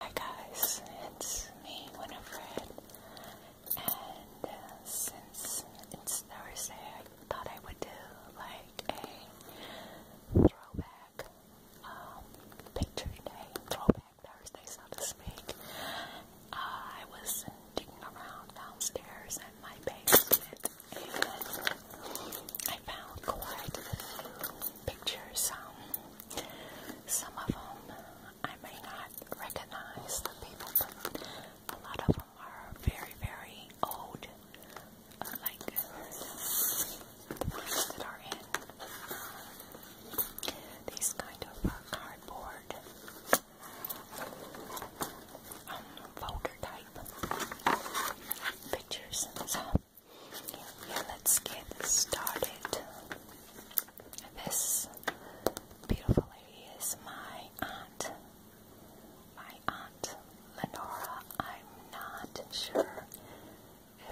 Hi guys, it's me, Winifred, and uh, since it's Thursday, I thought I would do like a throwback um, picture day, throwback Thursday, so to speak. Uh, I was digging around downstairs in my basement, and I found quite a few pictures. Um, some of them I may not recognize the people, but a lot of them are very, very old. like the ones that are in these kind of uh, cardboard um, folder type pictures and stuff yeah, let's get started. This beautiful lady is my aunt. My aunt Lenora. I'm not sure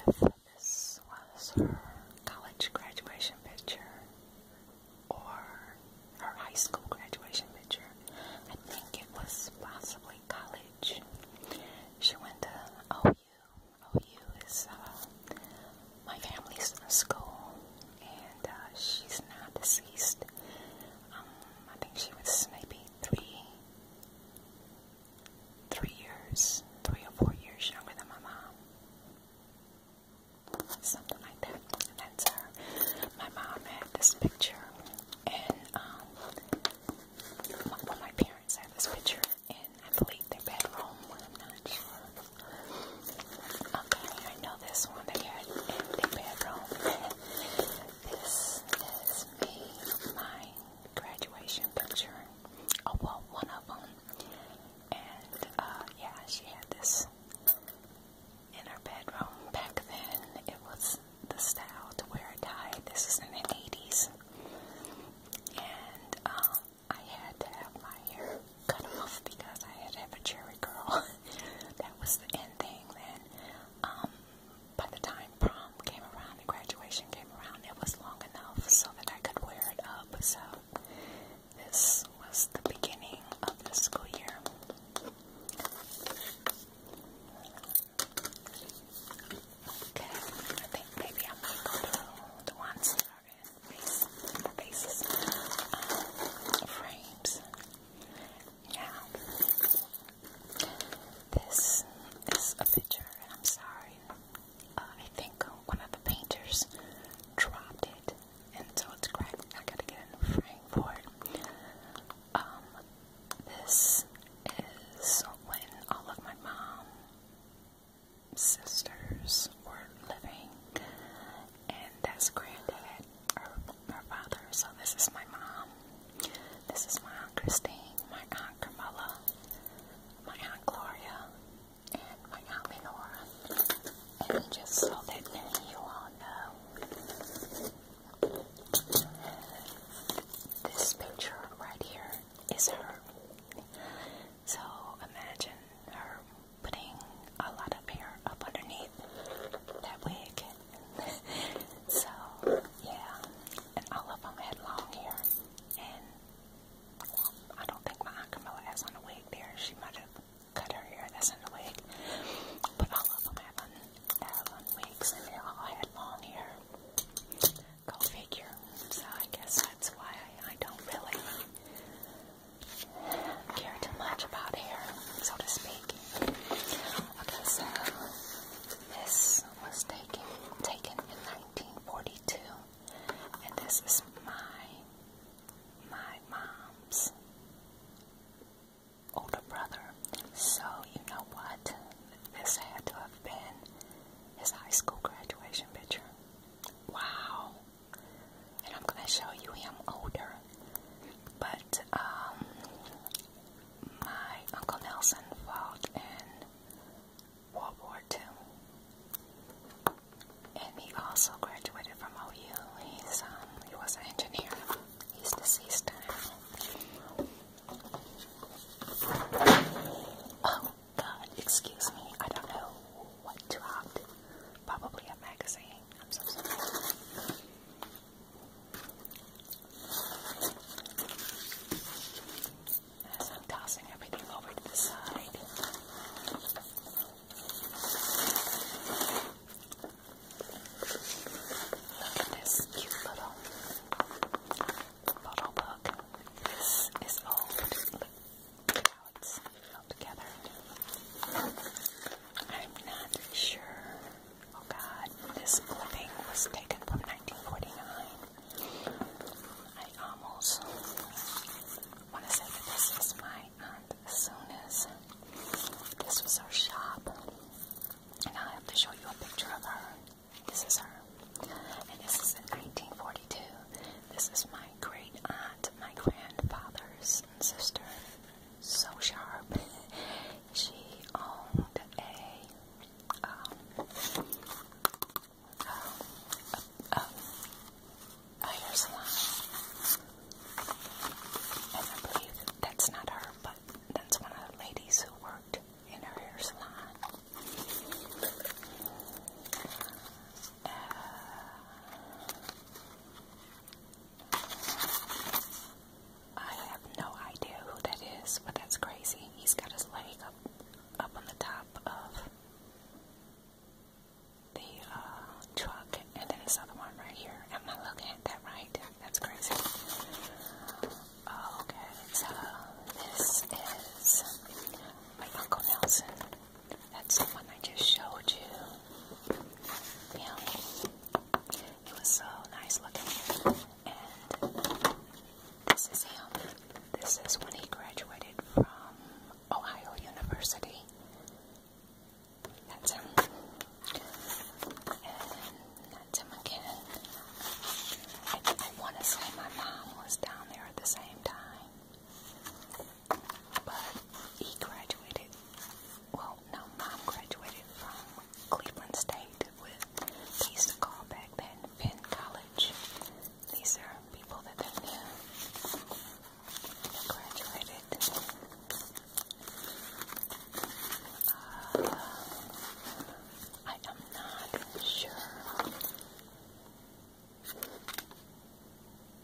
if this was her college graduation picture or her high school graduation picture. I think it was possibly college. She went to OU oh, Oh, OU. OU is uh, my family's school, and uh, she's not deceased. Um, I think she was maybe three, three years, three or four years younger than my mom, something like that. And that's her. Uh, my mom had this picture, and um, well, my parents had this picture, in, I believe, their bedroom. I'm not sure. Okay, I know this one they had in their bedroom. this is me, my graduation picture. Oh, well, one of them. And, uh, yeah, she had this in her bedroom. Back then, it was the style to wear a tie. This is in the 80s. And, um, I had to have my hair cut off because I had to have a cherry girl. that was the end thing then. Um, by the time prom came around and graduation came around, it was long enough so that I could wear it up. So this was the beginning of the school year. Okay, I think maybe I might go to the ones that are in um, frames. Now, this is a picture, and I'm sorry. Uh, I think one of the painters dropped it, and so it's cracked. I gotta get a new frame for it. Um, this is when all of my mom sisters were living, and that's granddad, or her father. So this is my mom. This is my aunt Christine, my aunt Carmela, my aunt Gloria, and my aunt Lenora. And just so that you all know, this picture right here is her. So imagine her putting a lot of hair up underneath that wig. so, yeah. And all of them had long hair. And well, I don't think my Aunt Camilla has on a wig there. She might have cut her hair. That's in the wig. But all of them have on, have on wigs and they all had long hair. Go figure. So I guess that's why I, don't really care too much about hair, so to speak. Okay, so this was taken taken in 1942, and this is my my mom's older brother. So you know what? This had to have been his high school graduation picture. Wow. And I'm going to show you him older. But um, my Uncle Nelson fought in World War II. And he also graduated from OU. He's, um, he was an engineer. He's deceased now. Oh, excuse me, I don't know what to dropped. Probably a magazine. I'm so sorry. As I'm tossing everything over to the side. Look at this cute little bottle book. This is old. Look how it's held together. I'm not sure. Oh god, this clipping was taken from 1949. I almost want to say that this was my aunt Suna's. This was our shop. And I'll have to show you a picture of her. This is her. And this is in 1942. This is my great aunt, my grandfather's sister. So sharp. she owned a, um, a, a, a hair And I believe that's not her, but that's one of the ladies who worked in her hair salon. Uh, I have no idea who that is, but that's crazy. He's got his leg up, up on the top of the uh, truck, and then this other one right here. Am I looking at that right? That's crazy. Okay, so this is by Uncle Nelson. That's the one I just showed you. Yeah. It was so nice looking. And this is him. This is when he graduated from Ohio University. That's him. And that's him again. I, I want to say my mom was down there at the same time, but he graduated. Well, no, mom graduated from Cleveland State with they back then Penn College. These are people that they knew graduated. Uh, I am not sure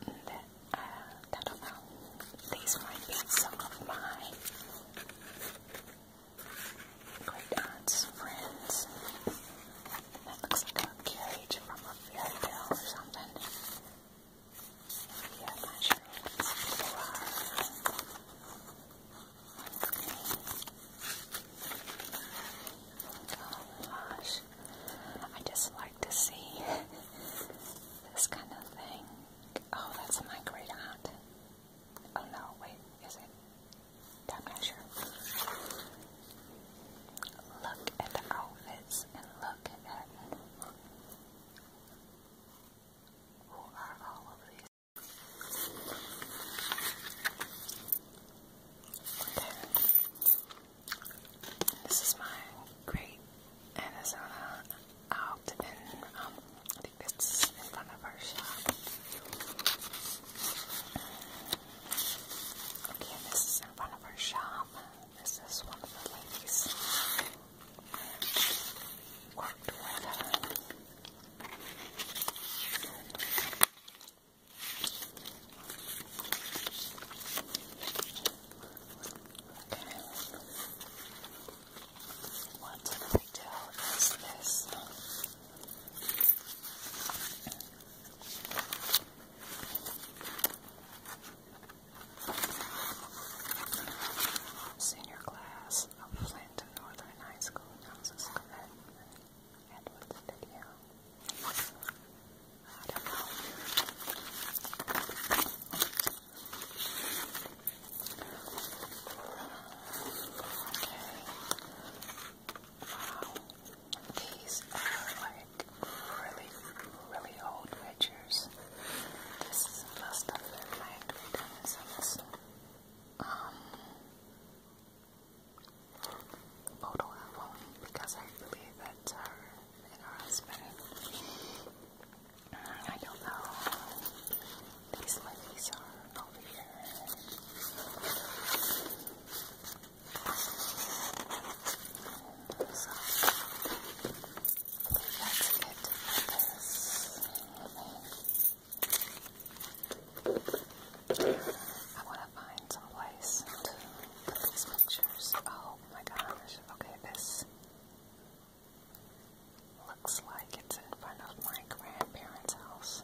that, uh, I don't know. These might be some of my great aunt's friends. That looks like a carriage from a fairy tale or something. Yeah, I'm not sure what these people are. Let's see. Oh gosh, I just like to see this kind of thing. Oh, that's my great aunt. Oh no, wait, is it? Not sure. Look at the outfits and look at who are all of these. This is my great Arizona out in, um, I think it's in front of our shop. Okay, this is in front of our shop. This is one of the ladies worked with Senior class of Flint Northern High School announces Edward's video. I don't know. Okay. Wow. These are like really, really old pictures. This is the last of Um, photo album because I believe that's uh, her and her husband. I don't know. These ladies are over here. So, that's it I want to find some place to put these pictures. Oh my gosh. Okay, this looks like it's in front of my grandparents' house.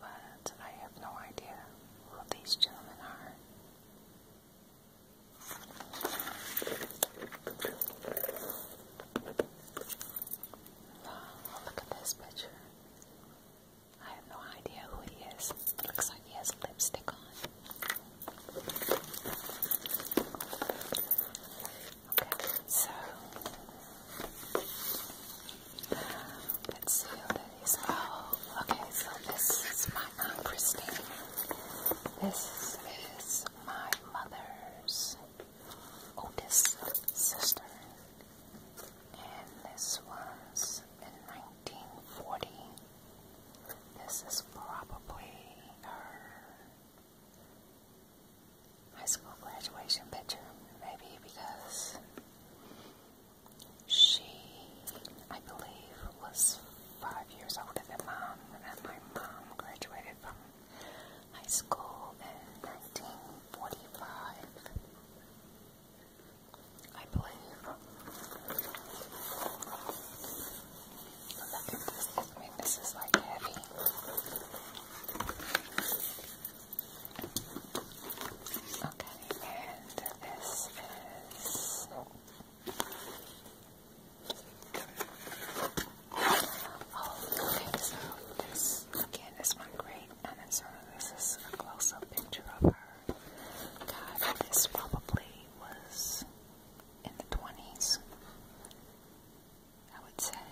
But I have no idea who these gentlemen are. Wow, look at this picture. I have no idea who he is. looks like he has lipstick on. Okay, so let's see what that is. Oh, okay, so this is my Aunt Christine. This is my mother's oldest sister. And this one's in 1940. This is probably her high school graduation picture, maybe because she, I believe, was five years older than mom, and my mom graduated from high school in 1945. I believe. Look at this. I mean, this is like heavy. Okay, and this is. Oh, okay, this one great. And then sort of this is a close-up picture of her. God, this probably was in the 20s, I would say.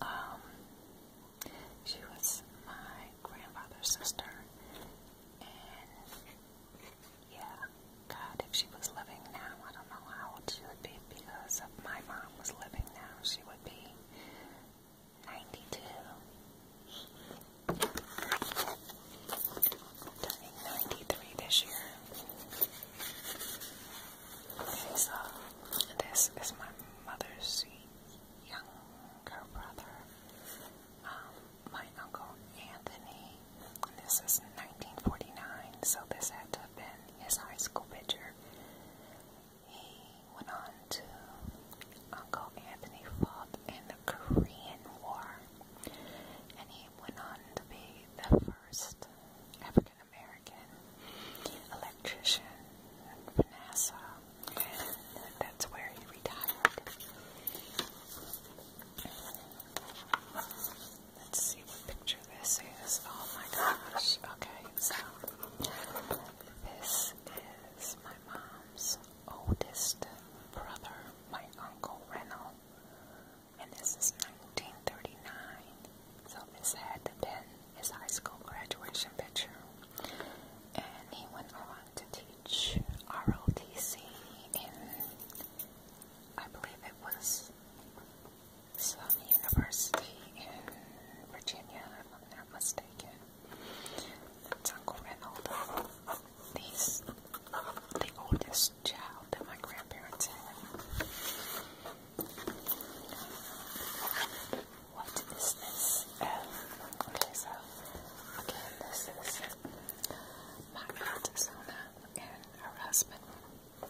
Um, she was my grandfather's sister, and yeah, God, if she was living now, I don't know how old she would be because if my mom was living now, she would be 92. Turning 93 this year. this is my mother's young younger brother, um, my uncle Anthony. This is 1949, so this had to have been his high school picture. He went on to Uncle Anthony fought in the Korean War, and he went on to be the first African American electrician at NASA, and that's where he retired. Let's see what picture this is, oh my gosh, okay, so this is my mom's oldest brother, my uncle Reynold, and this is 1939, so this had to been his high school graduation picture, and he went on to teach ROTC in, I believe it was some University in Virginia, if I'm not mistaken. It's Uncle Ronaldo. He's the oldest child that my grandparents had. What is this? okay, um, so again, this is my aunt Zona and her husband. Wow,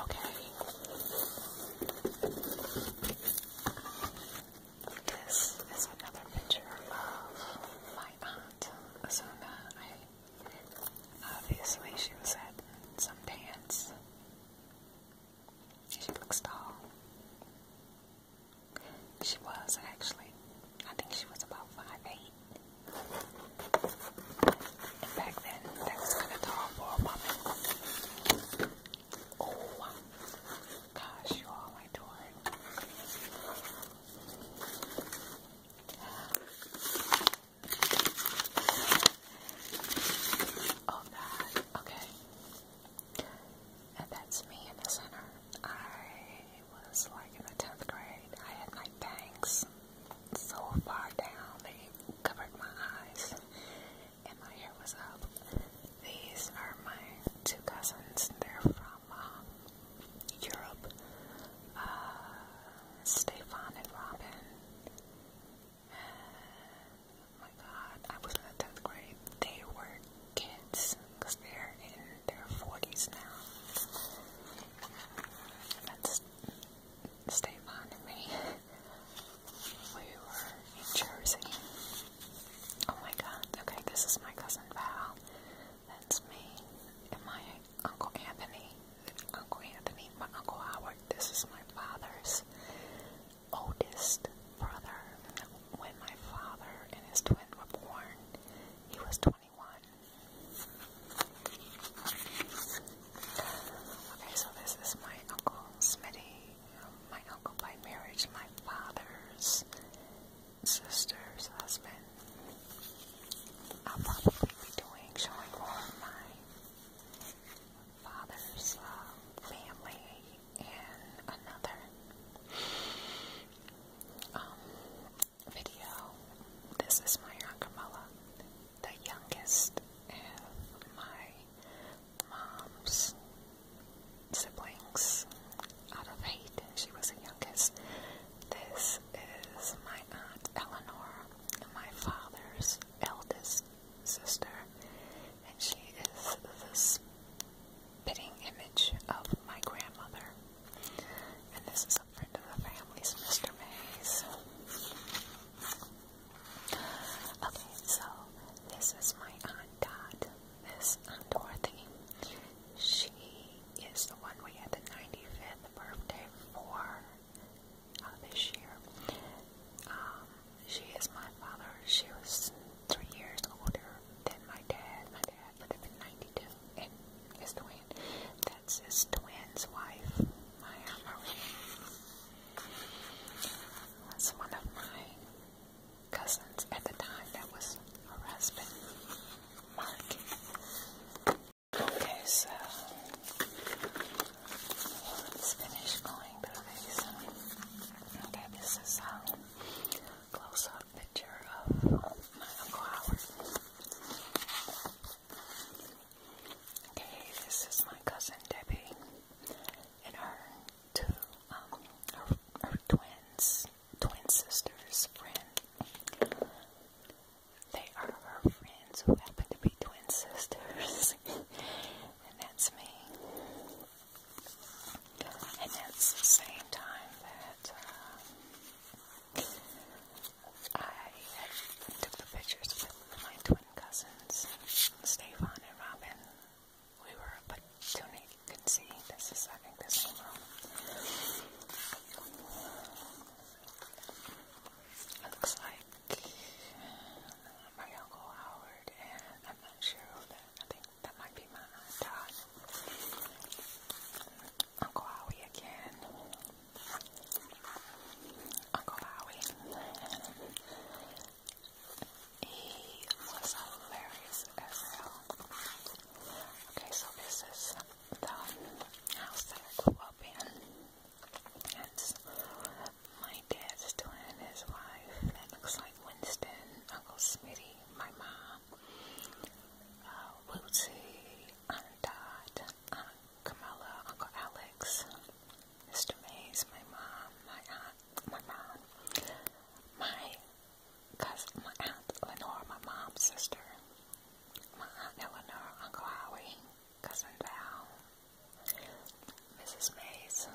okay. This is another picture of my aunt, Azuna. obviously she was some dance she looks tall. She was actually. I think she was about five eight. back then, that was kind of tall for a woman. Oh, gosh, you all, my door. Oh God. Okay. And that's me in the center. I was like in the 10th grade. I had my bangs so far down they covered my eyes, and my hair was up. These are my two cousins. They're from um, Europe. Uh, Stefan and Robin. Oh my god, I was in 10th grade. They were kids they're in their 40s now. That's stay fond We were in Jersey. Oh my god, okay, this is my cousin Val. That's me. And my Uncle Anthony. Uncle Anthony, my Uncle Howard. This is my father's oldest brother. When my father and his twin were born, he was 21. Okay, so this is my uncle Smitty. my uncle by marriage, my father's sister's husband. I'll probably be doing showing more of my father's uh, family and another um, video. This is my Ankamala, the youngest of my mom's siblings out of eight, she was the youngest. This is my aunt Eleanor, my father's eldest sister, and she is the spitting image of my grandmother. And this is a friend of the family's Mr. Mays. Okay, so this is my Aunt Dot, this Aunt Dorothy. She is the one we had the 95th birthday for uh, this year. Um, she is my father. She was three years older than my dad. My dad would have been 92. And his twin. That's his twin's wife. My aunt That's one of my cousins at the time that was her husband, Mark. Okay, so let's finish going through these. Okay, this is a um, close-up picture of my Uncle Howard. Okay, this is my cousin Debbie and her two, um, her, twins, twin sisters, friend. They are her friends who happen to be twin sisters, and that's me. And it's the same time that um, I took the pictures with my twin cousins, Stefan and Robin. We were but Tony can see this is I think this It looks like my uncle Howard and and I think that might be my dad. Uncle Howie again. Uncle Howie. He was hilarious as well. Okay, so this is the house that I grew up in my dad's twin, his wife, that looks like Winston, Uncle Smitty, my mom, uh, Lucy, Aunt Dot, Aunt Camilla, Uncle Alex, Mr. Mays, my mom, my aunt, my mom, my cousin, my aunt Lenore, my mom's sister, my aunt Eleanor, Uncle Howie, cousin Val, Mrs. Mays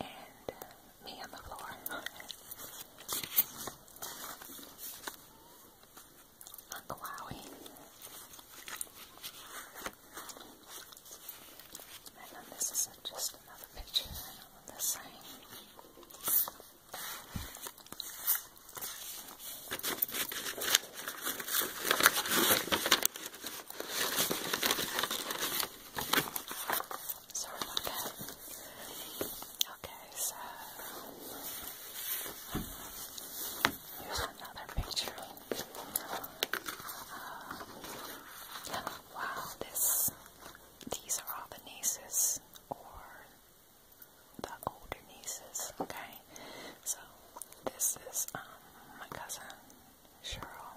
and me on the floor. Uncle Howie. And this is just another picture of the same. Sorry about that. Okay, so here's another picture. wow, this these are all the nieces or the older nieces, okay? So this is um my cousin Cheryl,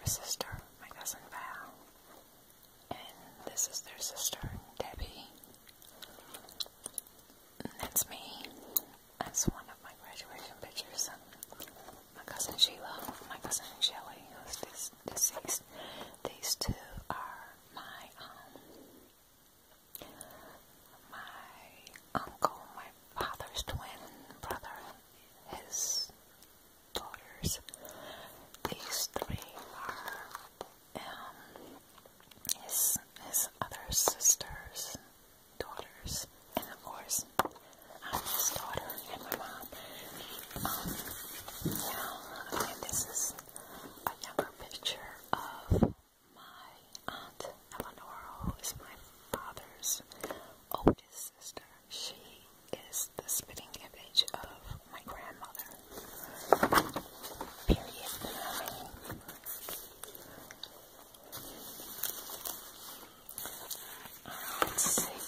her sister, my cousin Val, and this is their sister, Debbie. that's me. That's one of my graduation pictures. My cousin Sheila, my cousin Shelly, who's dis deceased. These two are my um my uncle, my father's twin brother his daughters. These three are um, his, his other sisters, daughters, and of course, I'm his daughter and my mom. Um, yeah, this is a younger picture of my aunt Eleanor, who is my father's oldest sister. She is the spitting image of my grandmother. Period. let's see.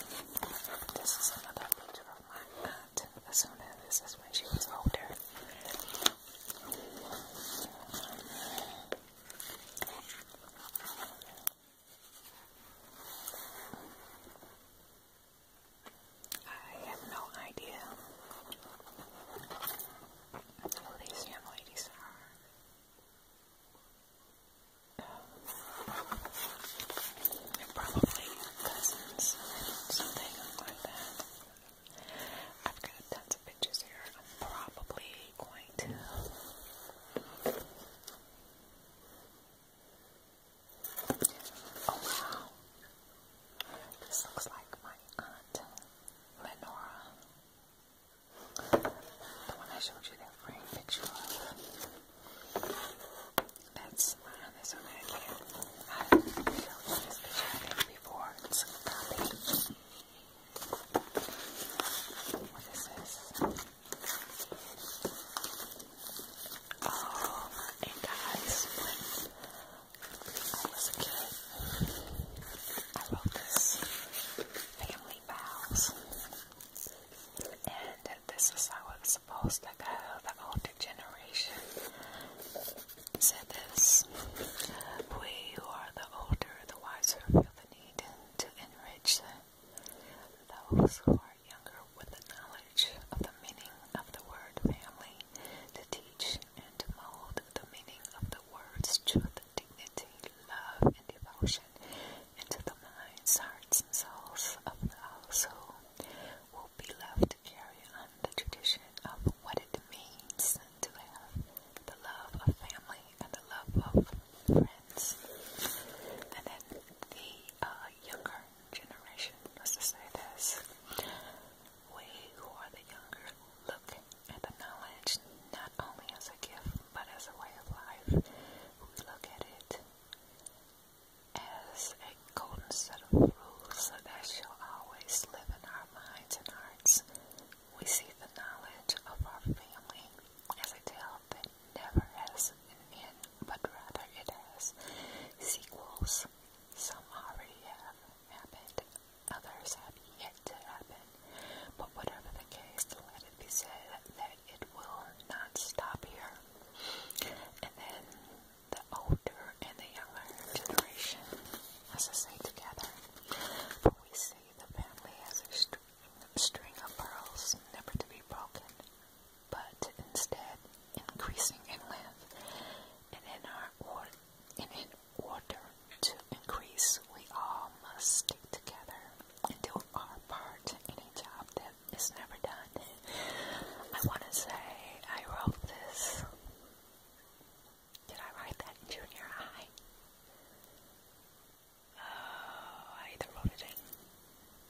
This is another picture of my aunt. As soon as this is when she was older. I have no idea who these young ladies are. probably cousins or something like that. I've got tons of pictures here. I'm probably going to Oh wow. This looks like my aunt Lenora. The one I showed you that frame picture of. That's my uh, that's one right there. I showed you this picture before. What is this? Oh, and guys, when I was a kid, I wrote this family vows, and this is how it's supposed to go. The older generation said this: "We who are the older, the wiser, feel the need to enrich them." Those who are younger with the knowledge of the meaning of the word family to teach and to mold the meaning of the words truth, dignity, love, and devotion into the minds, hearts, and souls of those who will be left to carry on the tradition of what it means to have the love of family and the love of friends. And then the uh, younger generation used to say this. We who are the younger look at the knowledge not only as a gift but as a way of life. We look at it as a golden set of rules that shall always live in our minds and hearts. We see the knowledge of our family as a tale that never has an end, but rather it has sequels. Some already have happened, others have yet to happen. But whatever the case, let it be said that it will not stop here. And then the older and the younger generation has to stay together. But we see the family as a string of pearls never to be broken, but instead increasing in length and in our order, and in order to increase, we all must stick together and do our part in a job that is never done. I want to say I wrote this. Did I write that junior high? I either wrote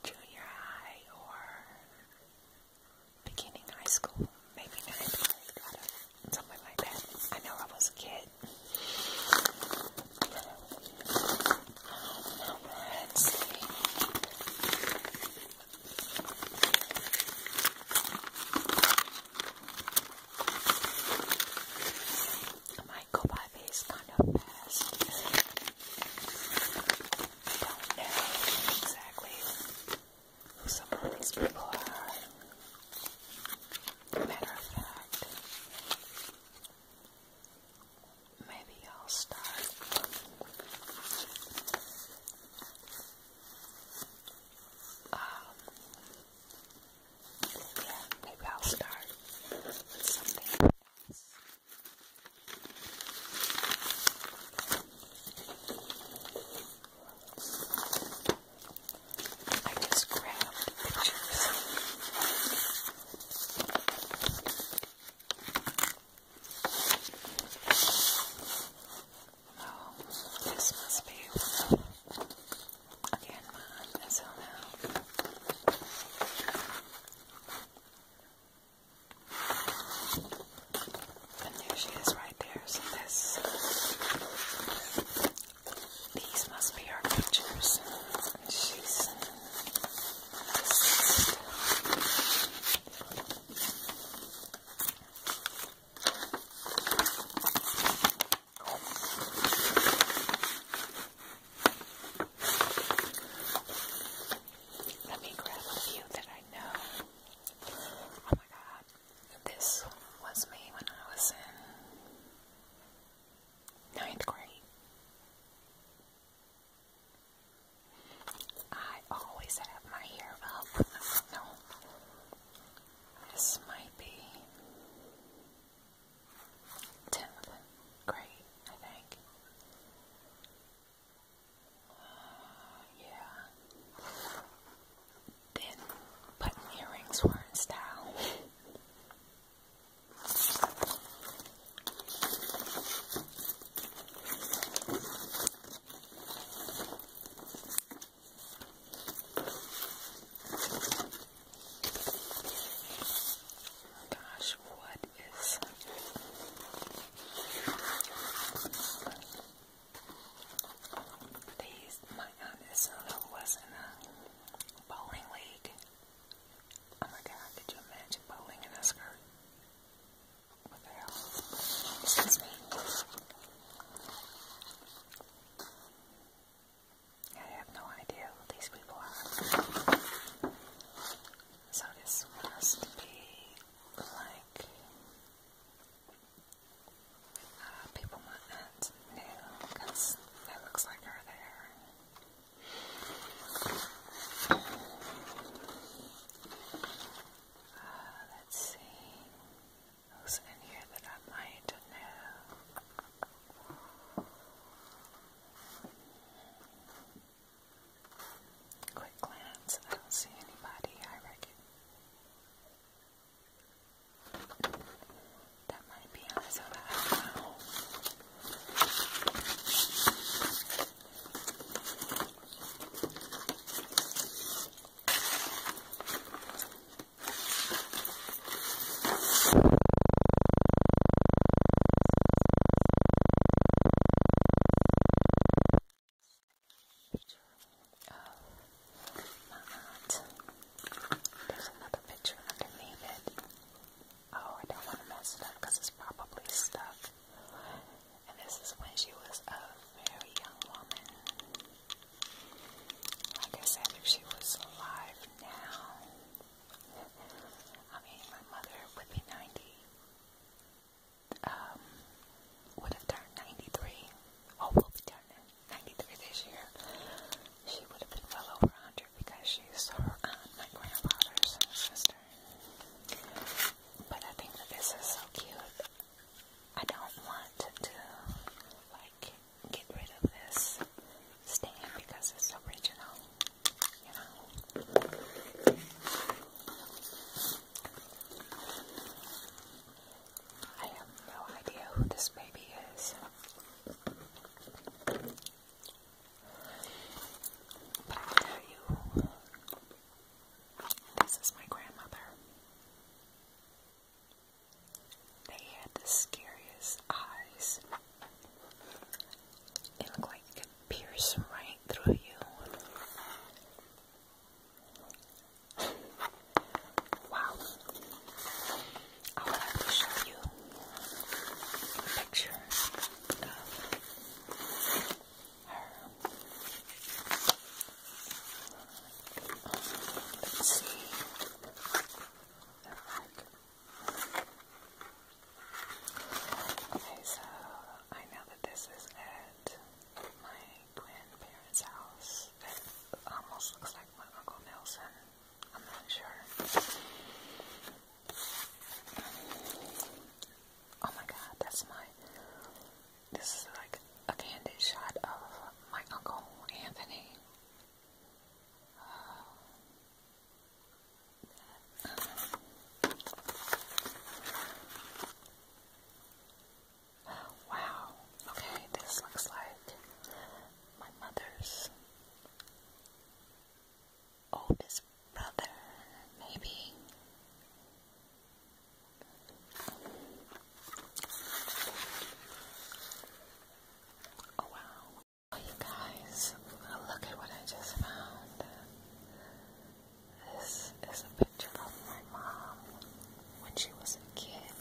junior high or beginning high school, maybe ninth grade, know, something like that. I know I was a kid. let's see go by these kind of best. don't know exactly who some of these people are. Matter of fact, maybe I'll start. Um, yeah, maybe I'll start with something I just grabbed pictures. Oh, this must be again mine as well now. And there she is right there. So this these must be our pictures. She's let me grab a few that I know. Oh my god, this was me when I was in ninth grade. I always have my hair up. No, this might be. 10th grade, I think. Uh, yeah. Then button earrings were in style. Oh gosh, what is these? My goodness, Erlo was in a bowling league. Oh my god, could you imagine bowling in a skirt? What the hell? Excuse me. I have no idea who these people are. So this must be like uh, people my aunt it looks like her there. Uh, let's see who's in here that I might know. Quick glance, I don't see anybody, I reckon. That might be on his own. I don't know. Picture of my aunt. There's another picture underneath it. Oh, I don't want to mess it up because it's probably stuck. And this is when she was a very young woman. Like I said, if she was alive now, I mean, my mother would be 90, um, would have turned 93, or oh, will be turning 93 this year. She would have been well over 100 because she's her my grandfather's sister. But I think that this is so cute. I don't want to, like, get rid of this stand because it's original. I have no idea who this baby is. But I can tell you, this is my grandmother. They had the scariest eyes. It looked like it could pierce right through you. Wow. I'll have to show you picture Let's see. Okay, so I know that this is at my grandparents' house. It almost looks like my Uncle Nelson. I'm not sure. Oh my god, that's my. This is like a candid shot of my Uncle Anthony. Uh, Wow, okay, this looks like my mother's oldest brother, maybe. Oh wow you guys, look at what I just found. This is a picture of my mom when she was a kid.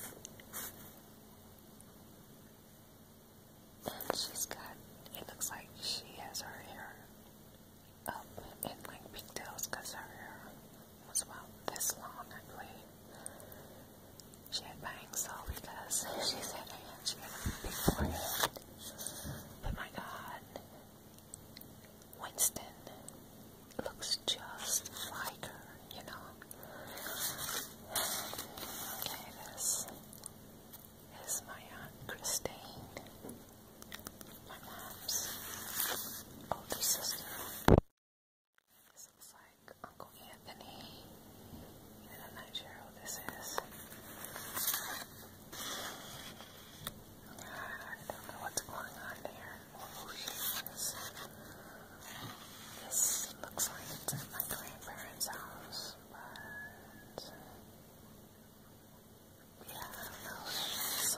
And she's got, it looks like she has her hair up in like pigtails because her hair was about this long, I believe. She had bangs though because she said and she had a big forehead. But my god, Winston looks just like her, you know. Okay, this is my Aunt Christine, my mom's older sister. This looks like Uncle Anthony, and I'm not sure who this is. I don't know what's going on there or who she is. This looks like it's at my grandparents' house, but yeah, I don't know who it is.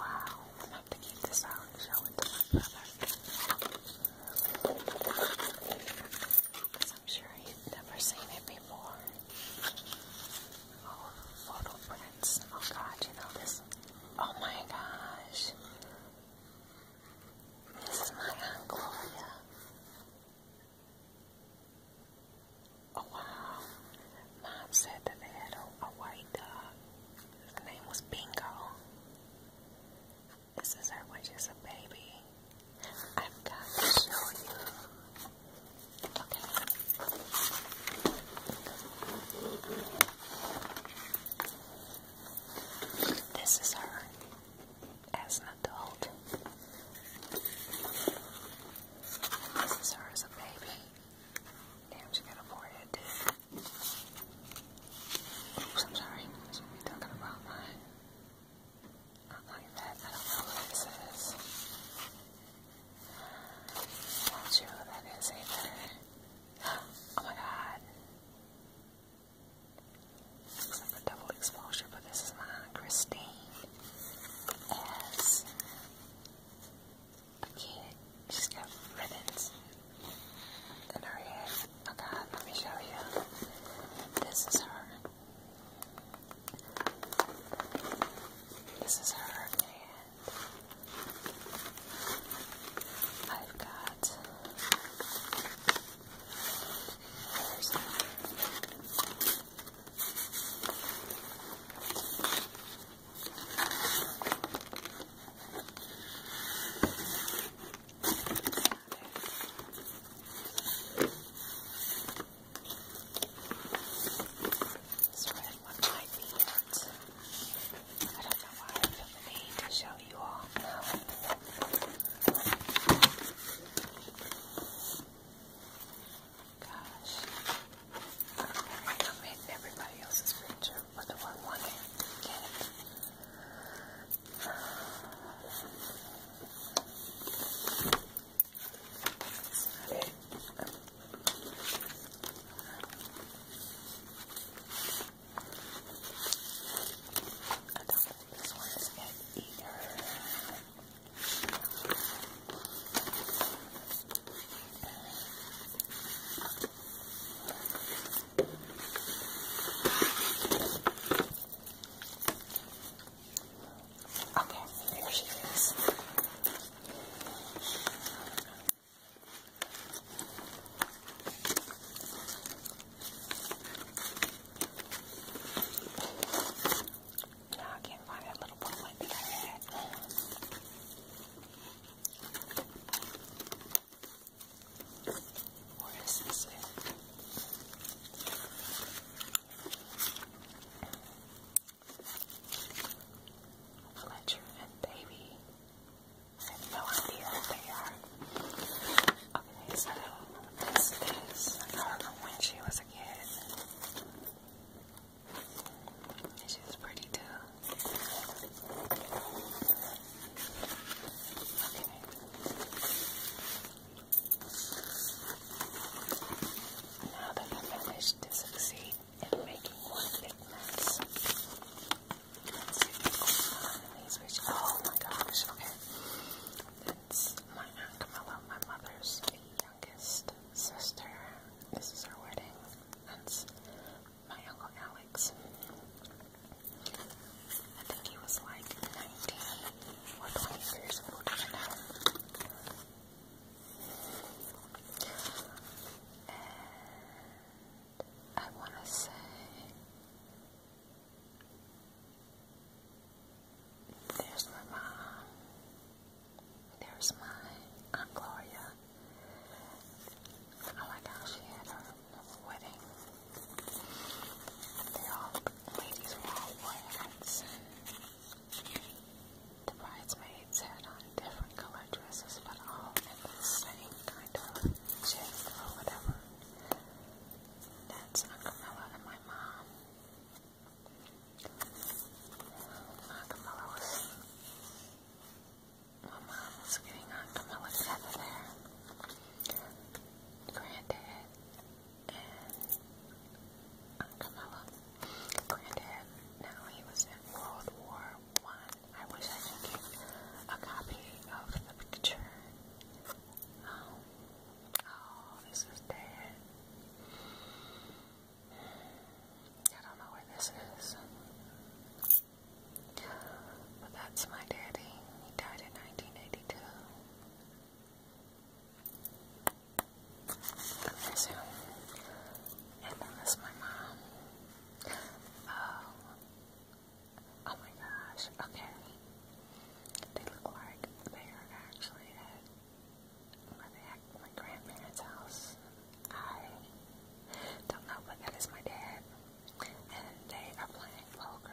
Wow, I'm gonna have to keep this out and show it to my brother because I'm sure you've never seen it before. Oh, photo prints. Oh god, you know this. Oh my gosh. This is my Aunt Oh wow. Mom said that they had a, a white dog. His name was Bingo. This is her when she's a baby. I've got to show you. Okay. This is her as an adult. This is her as a baby. Damn, she got a forehead Oops, I'm sorry. I should be talking about mine. Not like that. I don't know what this is. Not sure what that is either. Oh my god. Looks like a double exposure, but this is my Christine as a kid. She's got ribbons in her hair. Okay, let me show you. This is her. This is her, and I've got. There's another. This red one might be it. I don't know why I feel the need to show you all now. Gosh. I'm in everybody else's picture, but the one wanting to get it. I don't think this one is good either. Okay, there she is. Now I can't find that little booklet that or this Fletcher and Baby. have no idea what they are. Okay, so this is her from when she was a kid. She's pretty too. Now that I managed to succeed in making one big mess, let's see oh my gosh, okay. That's my Aunt Camilla, my mother's youngest sister. This is her wedding. That's my Uncle Alex. I think he was like 19 or 20 years old, And I want to say there's my mom, there's my Aunt Gloria. I like how she had her wedding. They all, ladies were all wearing hats. The bridesmaids had on different colored dresses, but all the same kind of gist or whatever. That's Camilla and my mom. My mom was getting on Camilla together there. Granddad and Camilla. Granddad, now he was in World War One. I. wish I could get a copy of the picture. Um, oh, this is Dad. I don't know where this is. But that's my daddy. He died in 92. Okay, and then my mom. Oh, oh my gosh, okay. They look like they are actually at my grandparents' house. I don't know, but that is my dad. And they are playing poker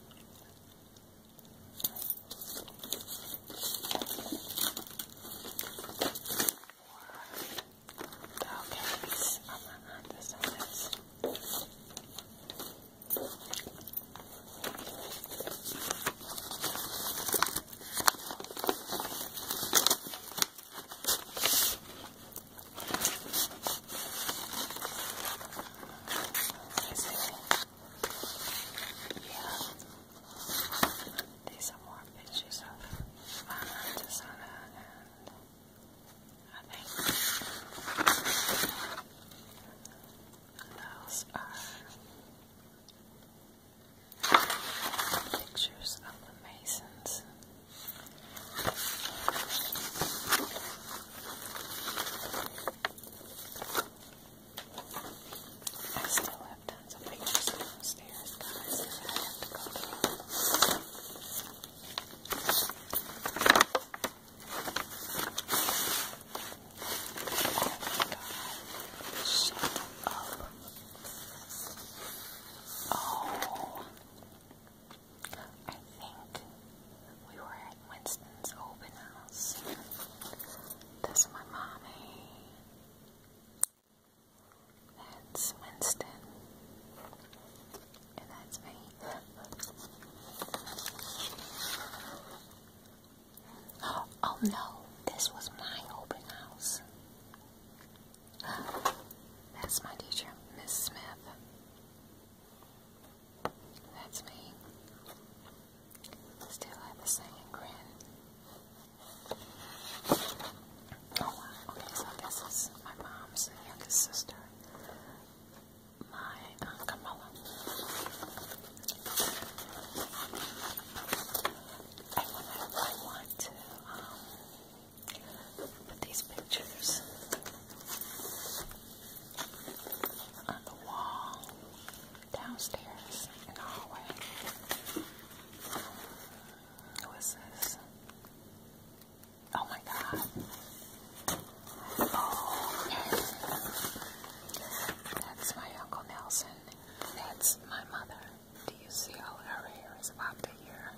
cupcakes. I'm gonna add this on this. Yeah. These are more pictures of my and I think those are pictures of the masons. I still have tons of pictures downstairs, guys, I have to go Oh my god, shut up. Oh. I think we were at Winston's open house. That's my mommy. That's Winston. And that's me. Oh no, this was my open house. That's my teacher, Miss Smith. That's me. Still have the same grin. Oh, okay, so this is my mom's youngest sister, my Aunt uh, Camilla. I want, to um, put these pictures on the wall downstairs in the hallway. Who is this? Oh my god. Oh, okay. That's my Uncle Nelson. That's my mother. Do you see all her hair is about to here?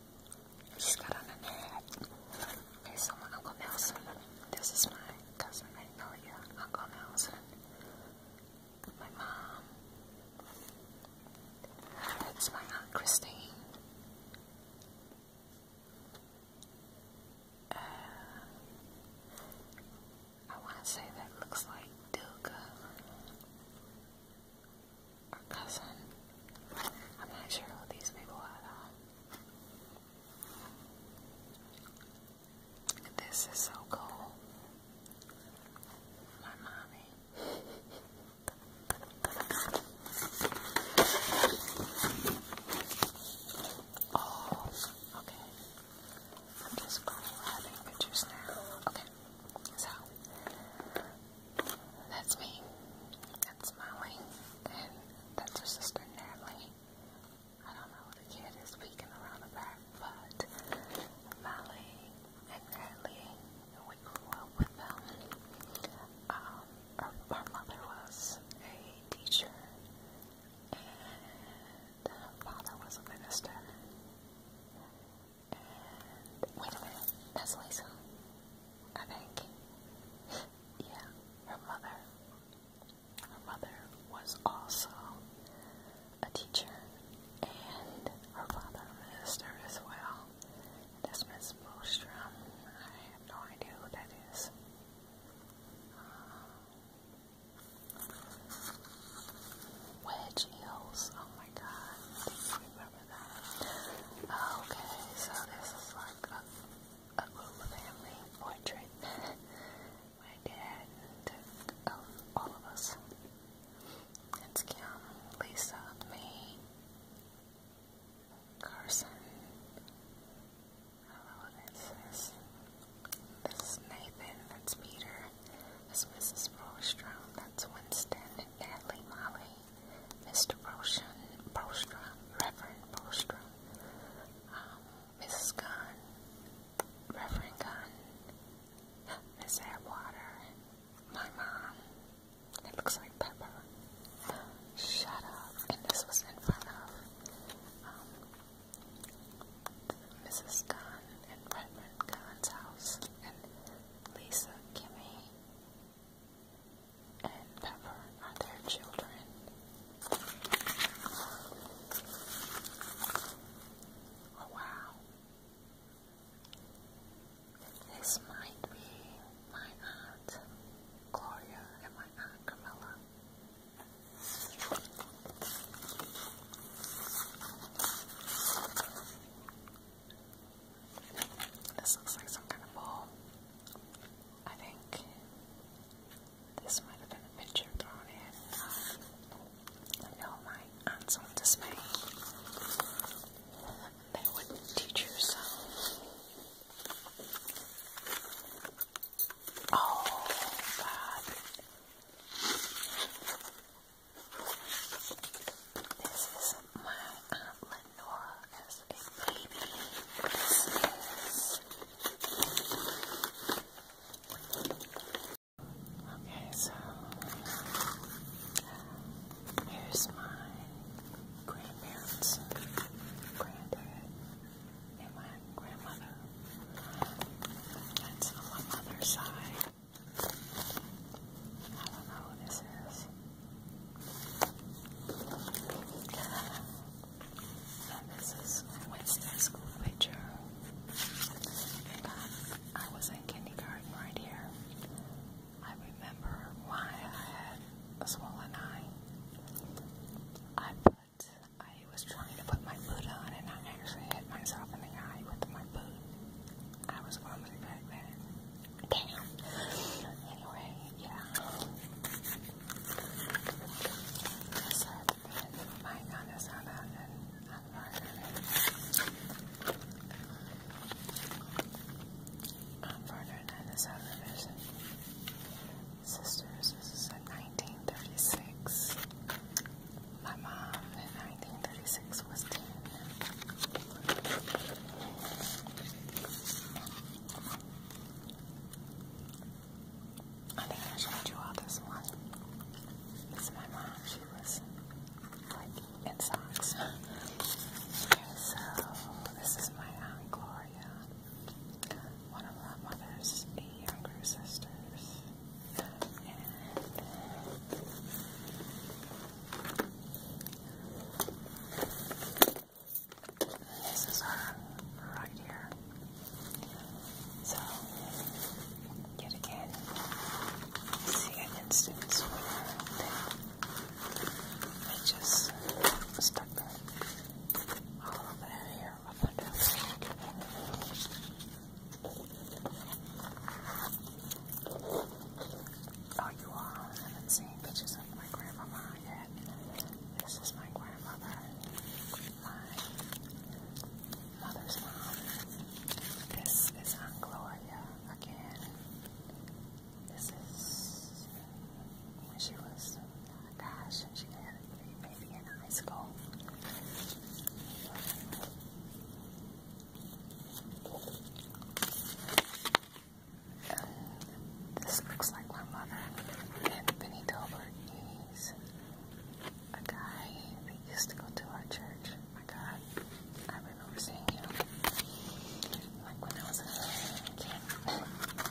I just got on an ad. Here's someone, Uncle Nelson. This is my cousin Magnolia, Uncle Nelson. My mom. That's my Aunt Christine. Uh, I want to say that looks like Duga cousin. I'm not sure who these people are This is so cool. My mommy. Oh, okay. I'm just grabbing pictures now. Okay, so that's me. That's Molly. that's her sister Natalie. I don't know who the kid is peeking around the back, but Molly and Natalie, we up with them. Um, our, mother was a teacher, and her father was a minister. wait a minute, that's Lisa. I think. Yeah, her mother. Her mother was also a teacher, and her father a minister as well. That's Miss Bostrom. I have no idea who that is. Uh, Wedge Okay, so this is like a, a group family portrait. my dad took um, all of us. It's Kim, Lisa, me, Carson. Hello, this is this is Nathan. That's Peter. That's Mrs. Rostrom. That's Winston. Natalie, Molly, Mr. Broshan, Bostrom, Reverend Bostrom, um, Mrs. Gunn, Reverend Gunn, Miss Atwater, my mom, it looks like Pepper, shut up, and this was in front of Mrs. Um, Gunn and Reverend Gunn's house, and Lisa, Kimmy, and Pepper are their children. Oh wow. This might be my aunt Gloria and my aunt Camilla. This looks like some kind of ball. I think this might have been a picture thrown in. no, my aunt's on They wouldn't teach her Oh, God. This is my Aunt Lenora as a baby Okay, so here's my grandparents, my grandmother. That's on my mother's side. I don't know who this is this is Wednesday's picture. I was in kindergarten right here. I remember why I had a swollen eye. I put, I was trying to put my boot on and I actually hit myself in the eye with my boot. I was vomiting back then. Damn. Anyway, yeah. So, my gun is on that, and I'm further than this other Sisters, this is in 1936. My mom in 1936 was I think I showed you all this one. This my mom. She was like in socks. Okay, so this is my aunt Gloria, one of my mother's younger sisters, this is her uh, right here. So, yet again, see an instance where they just stuck all of that hair up under her. Oh, you all haven't seen pictures of my grandmama yet. This is my grandmother, my mother's mom. This is Aunt Gloria again. This is when she was, gosh, she had maybe in high school. This looks like my mother and Benny Dover is a guy that used to go to our church. My God, I remember seeing him like when I was a kid.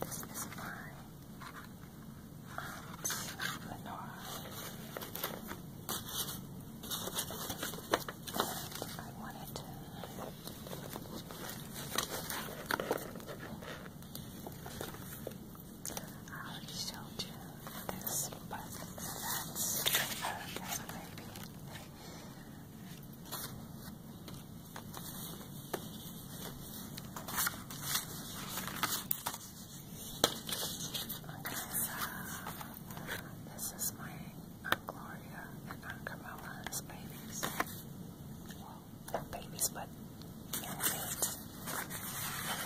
This is my um, I wanted to I already showed you this, but that's Erica's baby. Okay, this is my Aunt Gloria and Aunt Carmela as babies. babies, but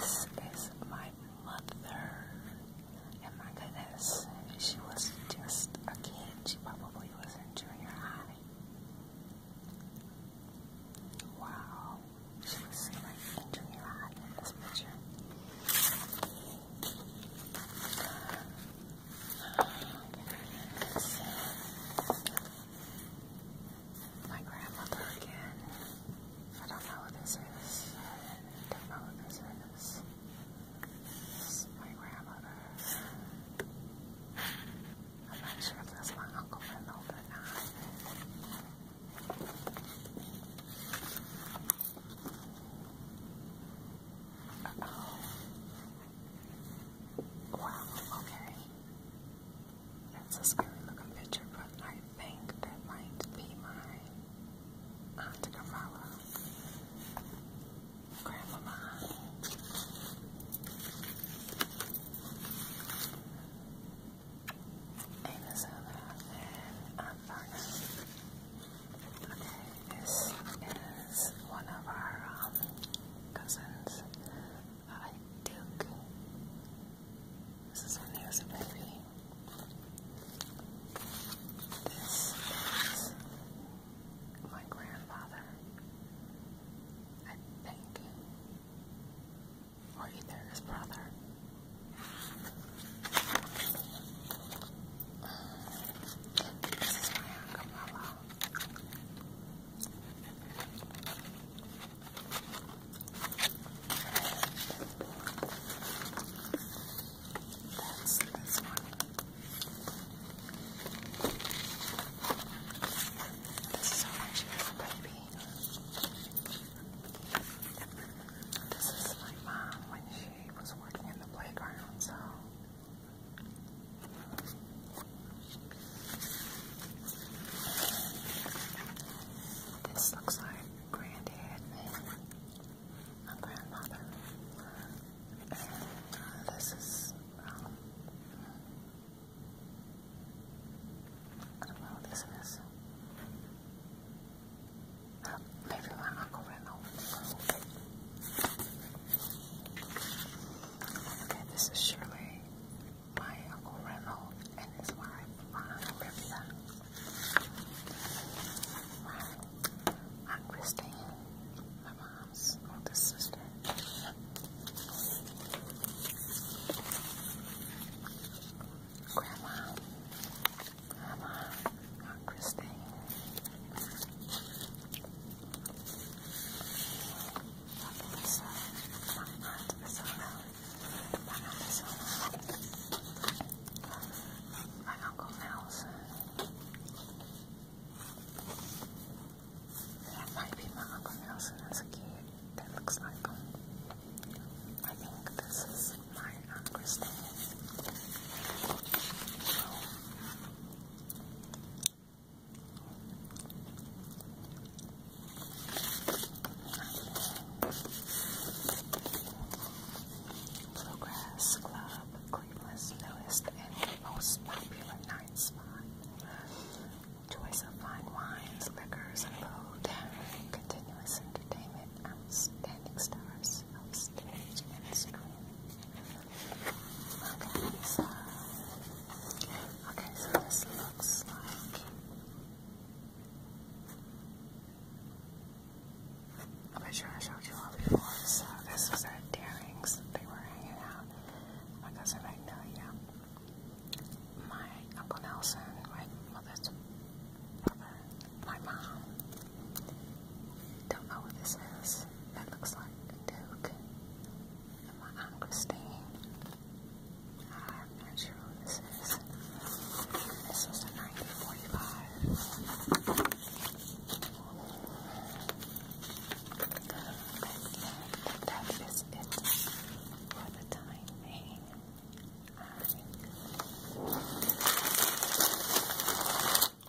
This is my mother. And oh my goodness, she was just a kid. She probably was in junior high. Wow, she was like junior high in this picture. So, my grandmother again. I don't know who this is. I don't know who this is. This my grandmother. I'm not sure if that's my uncle or not. Uh oh. Wow, okay. That's a scary looking picture, but I think that might be my Aunt Carmela, Grandmama. And and Aunt this is one of our um, cousins, uh, Duke. This is one of was a This is my grandfather, I think, or either his brother. This is my acapella. That's this is how baby. This is my mom when she was working in the playground, so this looks like Granddad and my grandmother. And uh, this is, I don't know what this is. maybe my uncle ran this is Shirley, my Uncle Reynold and his wife, Ron Ripsa. My Aunt Christine, my mom's oldest sister. Grandma, Grandma, Aunt Christine, my aunt is My uncle Nelson. That might be my uncle Nelson as a kid. That looks like him. I think this is my aunt Christine. Oh. Bluegrass Club, Cleveland's newest and most popular night spot. Choice of fine wines, liquors, and food. Continuous entertainment, outstanding stars, upstage, and stream. Okay, so okay, so this looks like I'm sure I showed you all before. So this was at Daring's. They were hanging out. My cousin Magnolia, my uncle Nelson, my mother's brother, my mom, don't know what this is. That looks like a Duke. my Aunt I'm not sure who this is. This was a 1945. that is it for the time being. Maybe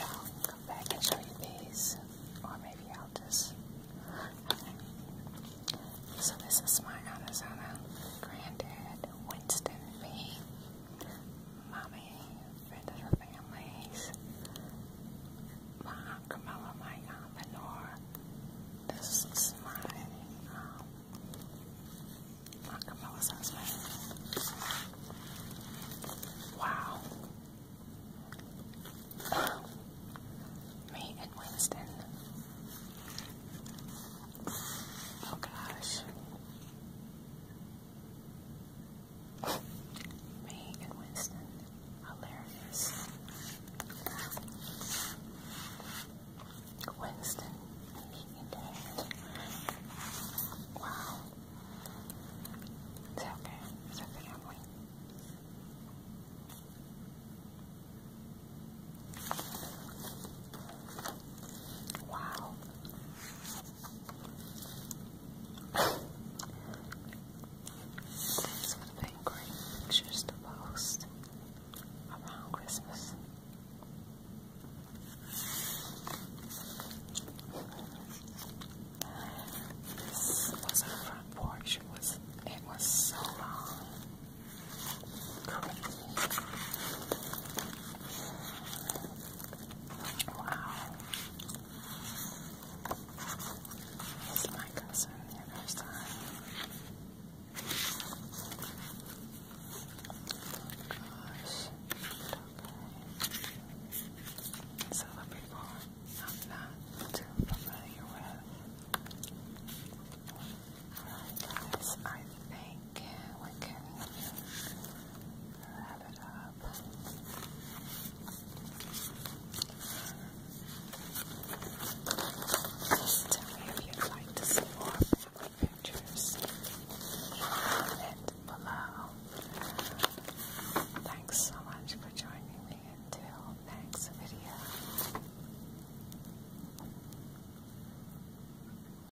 I'll come back and show you these, or maybe I'll just. So this is my Arizona granddad, Winston B. Mommy, friend of the families, my Aunt Camilla, my Aunt Lenore. This is my um, Aunt Camilla's Wow. Me and Winston. Oh gosh. Me and Winston. Hilarious. Winston and Dan. Wow. It's okay. It's a family. Wow. These would great pictures to post around Christmas. This was our front porch. It was, it was so long. Wow. It's my cousin the other side. gosh. Okay. So the I'm not too familiar with. Alright guys, Thank think we can wrap it up. Just tell me if you'd like to see more pictures. Comment below. Thanks so much for joining me until next video.